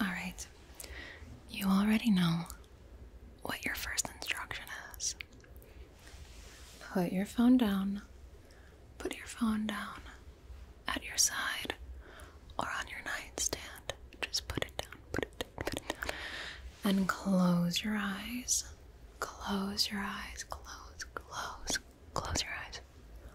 Alright, you already know what your first instruction is. Put your phone down. Put your phone down at your side or on your nightstand. Just put it down, put it down, put it down. And close your eyes. Close your eyes. Close, close, close your eyes.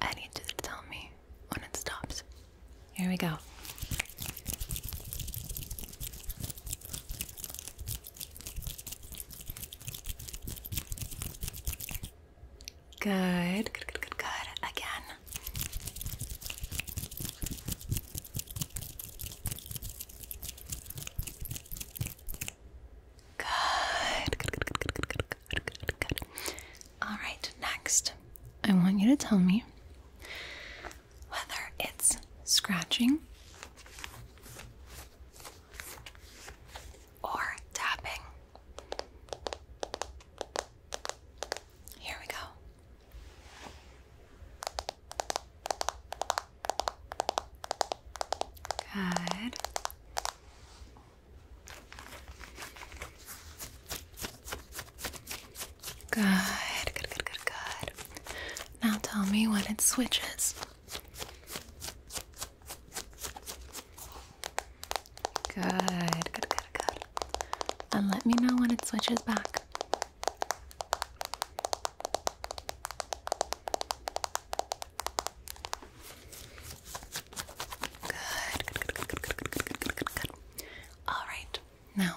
I need you to tell me when it stops. Here we go. Good, good, good, good, good. Again. Good, good, good, good, good, good, Good, good, good. All right, next, I want you to tell me whether it's scratching or tapping. Here we go. Good. Good, good, good, good, good. Now tell me when it switches. Good, good, good, good. And let me know when it switches back. Good, good, good, good, good, good, good, good, All right. Now,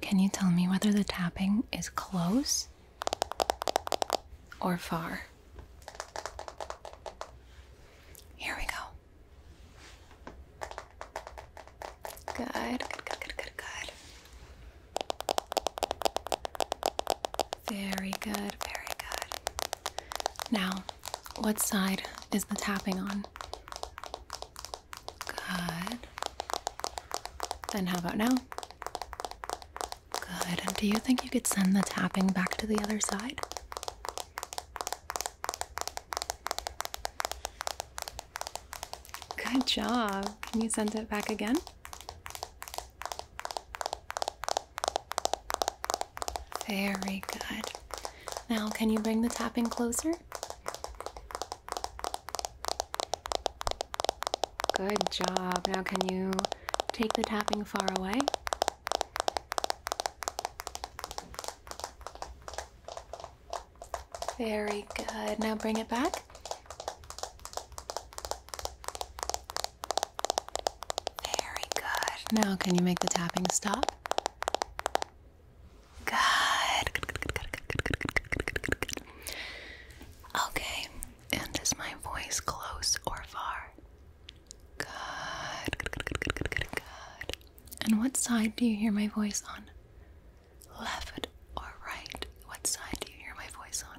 can you tell me whether the tapping is close or far? Here we go. good, good, good, good, good. Very good, very good. Now, what side is the tapping on? Good. And how about now? Good. And do you think you could send the tapping back to the other side? Good job. Can you send it back again? Very good. Now, can you bring the tapping closer? Good job. Now, can you take the tapping far away? Very good. Now bring it back. Very good. Now, can you make the tapping stop? Good. Okay. And is my voice close or far? good. And what side do you hear my voice on? Left or right? What side do you hear my voice on?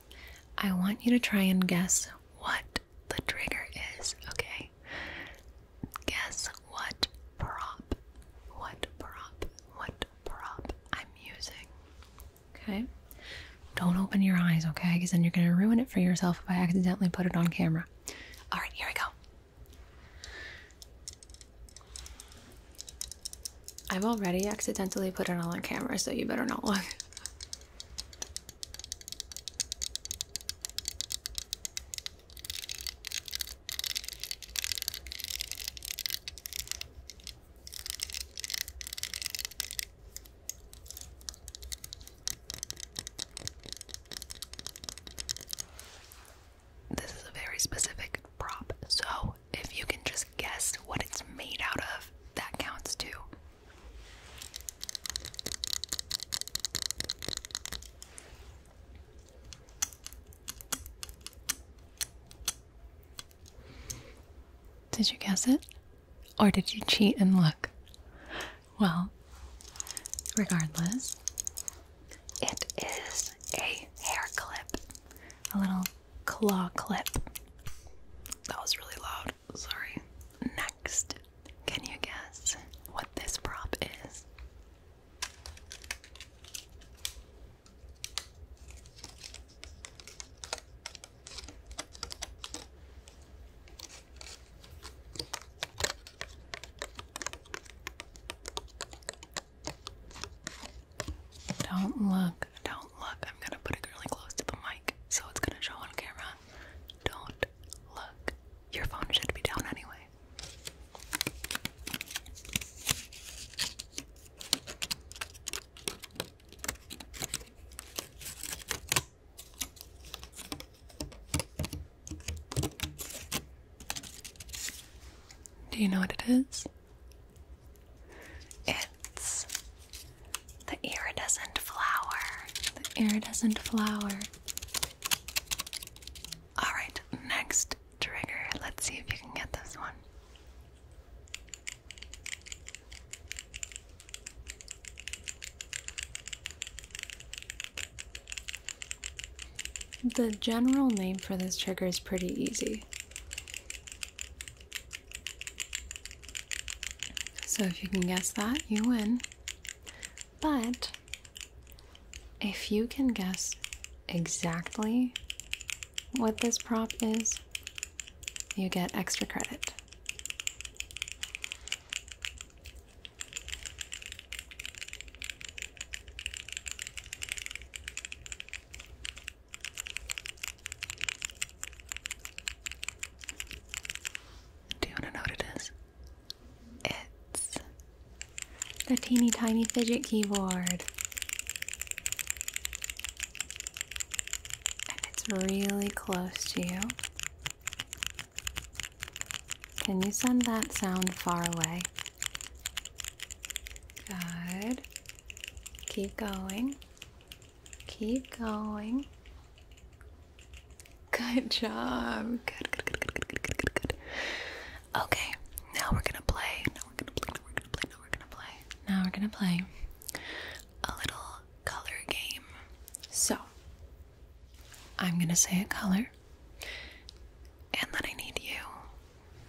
I want you to try and guess what the trigger is, okay? Guess what prop, what prop, what prop I'm using, okay? Don't open your eyes, okay? Because then you're going to ruin it for yourself if I accidentally put it on camera. All right, here we go. I've already accidentally put it all on camera, so you better not look. This is a very specific prop, so if you can just guess what it's made out of, that counts too. Did you guess it? Or did you cheat and look? Well, regardless, it is a hair clip. A little claw clip. That was really loud. Sorry. Next, can you guess what this prop is? Don't look, don't look. I'm gonna put it really close to the mic so it's gonna show on camera. Don't look. Your phone should be down anyway. Do you know what it is? It's the iridescent flower. The iridescent flower. Alright, next trigger. Let's see if you can get this one. The general name for this trigger is pretty easy. So if you can guess that, you win. But if you can guess exactly what this prop is, you get extra credit. Do you want to know what it is? It's the teeny tiny fidget keyboard. And it's really close to you. Can you send that sound far away? Good. Keep going. Keep going. Good job. Good, good, good, good, good, good, Okay, now we're gonna play. Now we're gonna play. Now we're gonna play. Now we're gonna play. Now we're gonna play a little color game. So, I'm gonna say a color, and then I need you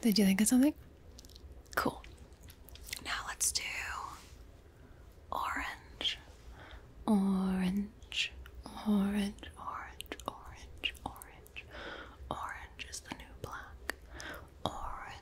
Did you think of something? Cool. Now let's do orange, orange, orange, orange, orange, orange. Orange is the new black. Orange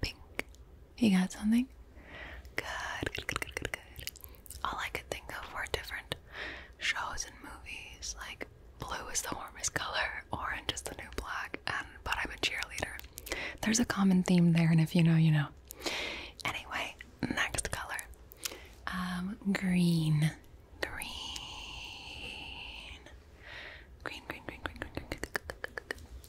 Pink. You got something? Good, good, good, good, good, good. All I could think of were different shows and movies, like blue is the warmest color, orange is the new black, and but I'm a cheerleader. There's a common theme there, and if you know, you know. Anyway, next color. Um, green. Green. Green, green, green, green, green, green, green,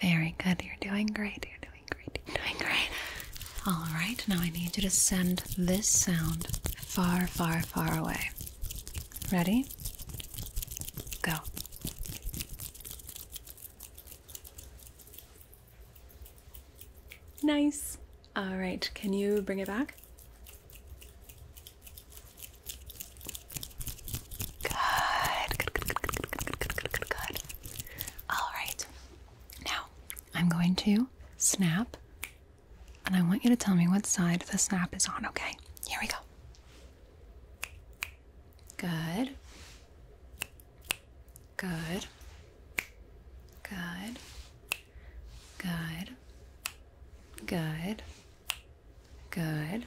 Very good. You're doing great. You're doing great. You're doing great. All right. Now I need you to send this sound far, far, far away. Ready? Go. Nice. All right. Can you bring it back? Good. Good, good, good, good, good, good, good, All right. Now, I'm going to snap, and I want you to tell me what side the snap is on, okay? Here we go. Good. Good. Good. Good. Good. Good.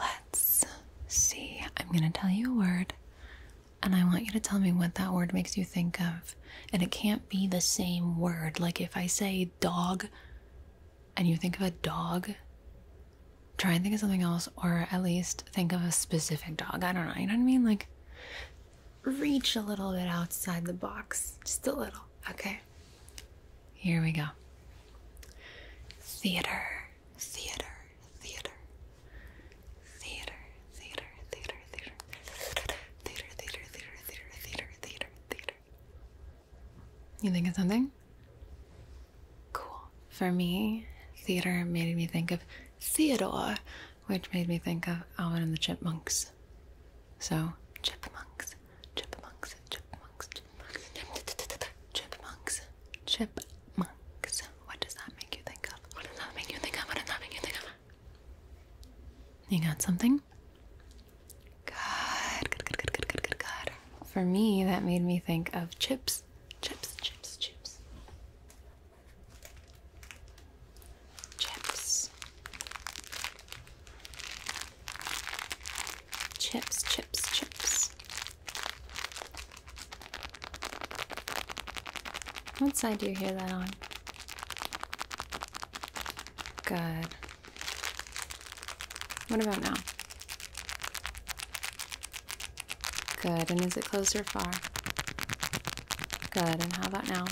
Let's see. I'm going to tell you a word, and I want you to tell me what that word makes you think of. And it can't be the same word. Like if I say dog, and you think of a dog, try and think of something else, or at least think of a specific dog. I don't know. You know what I mean? Like, reach a little bit outside the box. Just a little. Okay. Here we go. Theater theater, theater, theater, theater, theater, theater, theater, theater, theater, theater, theater, theater, You think of something? Cool. For me, theater made me think of Theodore, which made me think of Alvin and the Chipmunks. So, chipmunks, chipmunks, chipmunks, Chipmunks. Chipmunks. What does that make you think of? What does that make you think of? What does that make you think of? You got something? Good, good, good, good, good, good, good, good. For me, that made me think of chips. Chips, chips, chips. Chips. Chips, chips, chips. What side do you hear that on? Good. What about now? Good. And is it close or far? Good. And how about now?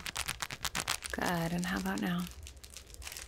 Good. And how about now?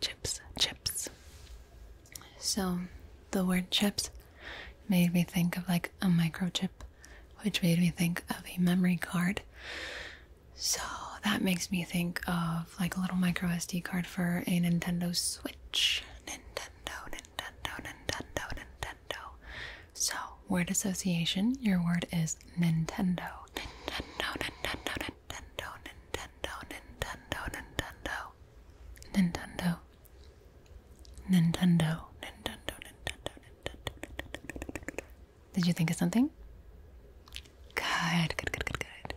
chips, chips. So the word chips made me think of like a microchip, which made me think of a memory card. So that makes me think of like a little micro SD card for a Nintendo Switch. Nintendo, Nintendo, Nintendo, Nintendo. So, word association, your word is Nintendo. Nintendo, Nintendo, Nintendo. Nintendo, Nintendo, Nintendo, Nintendo, Nintendo, Nintendo, Nintendo, Nintendo, Nintendo. Did you think of something? Good, good, good, good, good.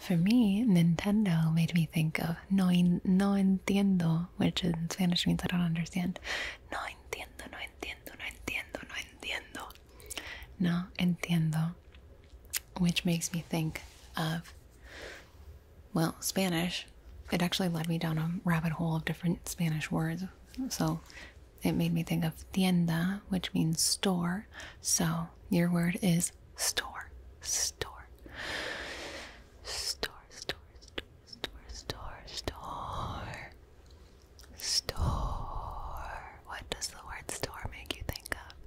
For me, Nintendo made me think of no, no entiendo, which in Spanish means I don't understand. No entiendo, no entiendo, no entiendo, no entiendo. No entiendo, which makes me think of well, Spanish, it actually led me down a rabbit hole of different Spanish words. So it made me think of tienda, which means store. So your word is store, store, store, store, store, store, store, store. What does the word store make you think of?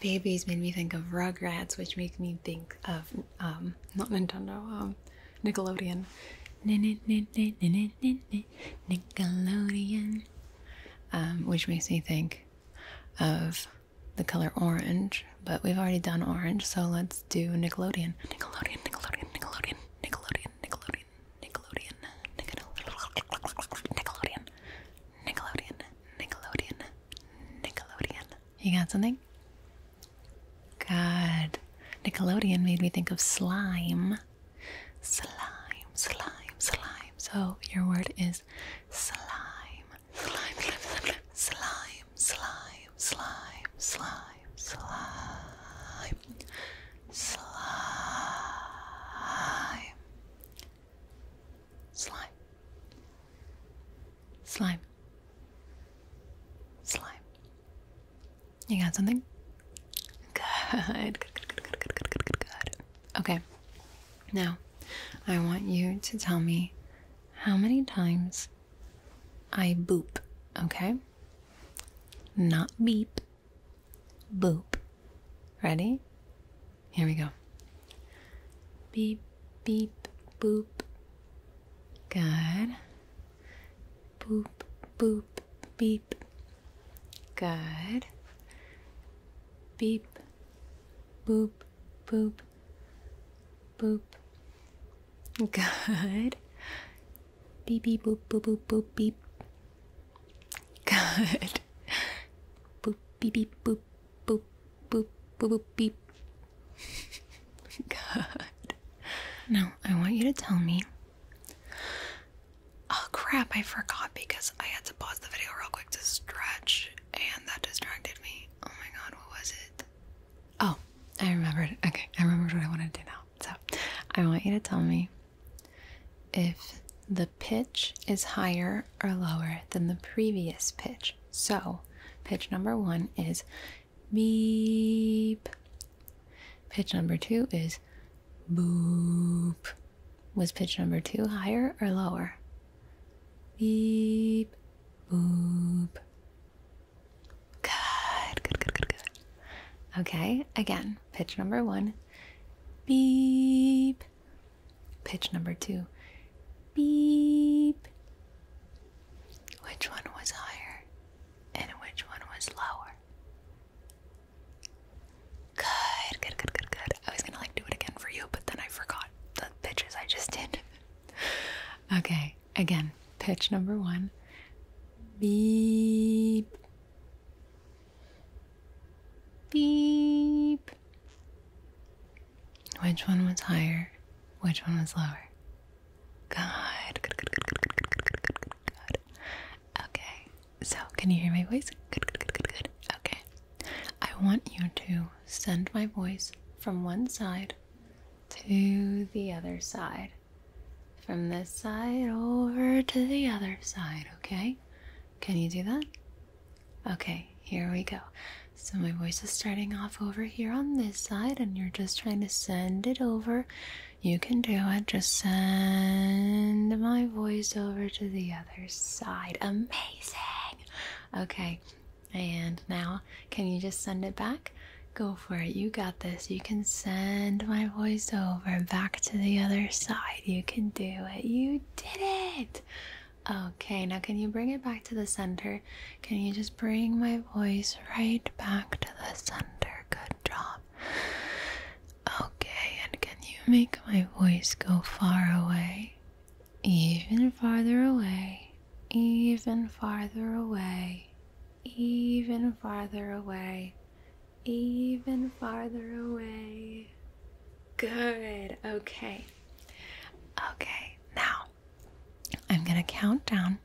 Babies made me think of Rugrats, which makes me think of um, not Nintendo, um, Nickelodeon. Nickelodeon, um, which makes me think of the color orange. But we've already done orange, so let's do Nickelodeon. Nickelodeon, Nickelodeon, Nickelodeon, Nickelodeon, Nickelodeon, Nickelodeon, Nickelodeon, Nickelodeon, Nickelodeon, Nickelodeon, Nickelodeon. You got something? God. Nickelodeon made me think of slime. Slime, slime, slime. So your word is slime. Slime, slime, slime, slime, slime, slime, slime, slime, slime slime, slime, slime. You got something? Good, good, good, good, good, good, good, good, good. Okay, now I want you to tell me how many times I boop, okay? Not beep, boop. Ready? Here we go. Beep, beep, boop. Good. Boop, boop, beep. Good. Beep, boop, boop, boop. Good. Beep, beep, boop, boop, boop, boop, beep. Good. Boop, beep, beep, boop, boop, boop, boop, boop, beep. Good. Now, I want you to tell me. Oh crap, I forgot because I had to pause the video real quick to stretch and that distracted me. Oh my god, what was it? Oh, I remembered. Okay, I remembered what I wanted to do now. So, I want you to tell me if the pitch is higher or lower than the previous pitch. So, pitch number one is beep. Pitch number two is boop. Was pitch number two higher or lower? Beep, boop. Good, good, good, good, good. Okay, again, pitch number one beep, Pitch number two. Beep. Which one was higher and which one was lower? Good, good, good, good, good. I was gonna like do it again for you, but then I forgot the pitches I just did. okay, again, pitch number one. Beep. Beep. Which one was higher? Which one was lower? Good. Okay. So, can you hear my voice? good, good, good, good. Okay. I want you to send my voice from one side to the other side. From this side over to the other side, okay? Can you do that? Okay, here we go. So my voice is starting off over here on this side, and you're just trying to send it over. You can do it. Just send my voice over to the other side. Amazing. Okay, and now can you just send it back? Go for it. You got this. You can send my voice over back to the other side. You can do it. You did it! Okay, now can you bring it back to the center? Can you just bring my voice right back to the center? Good job. Okay, and can you make my voice go far away? Even farther away. Even farther away. Even farther away even farther away. Good. Okay. Okay. Now, I'm going to count down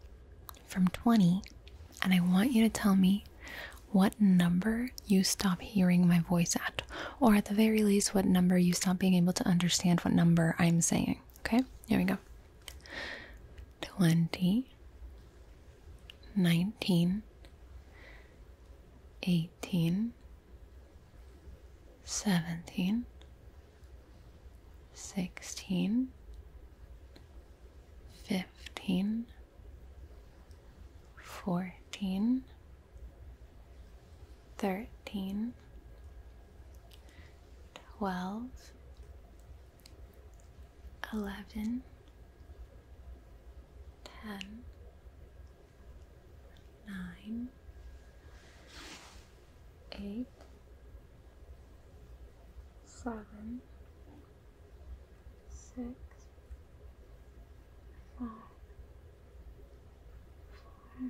from 20 and I want you to tell me what number you stop hearing my voice at, or at the very least, what number you stop being able to understand what number I'm saying. Okay, here we go 20, 19, eighteen, seventeen, sixteen, fifteen, fourteen, thirteen, twelve, eleven, ten nine, eight, seven, six, five, four,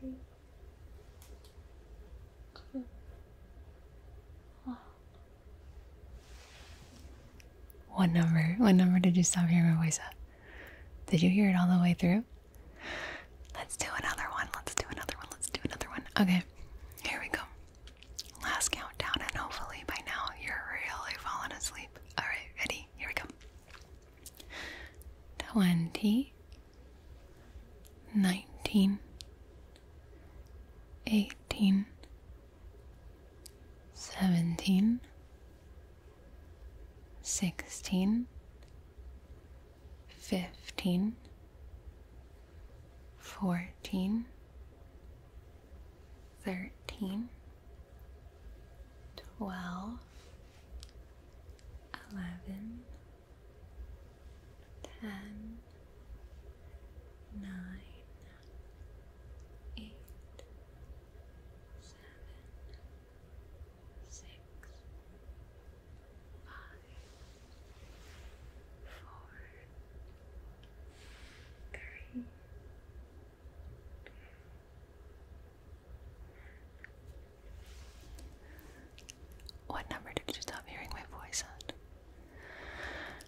three, two, one. What number? What number did you stop hearing my voice at? Did you hear it all the way through? Let's do another one. Let's do another one. Let's do another one. Okay, here we go. Last countdown, and hopefully by now you're really falling asleep. All right, ready? Here we go. Twenty, nineteen, eighteen seventeen, sixteen, fifteen, fourteen, thirteen, twelve, eleven, ten nine, eight, seven, six, five, four, three, what number did you stop hearing my voice at?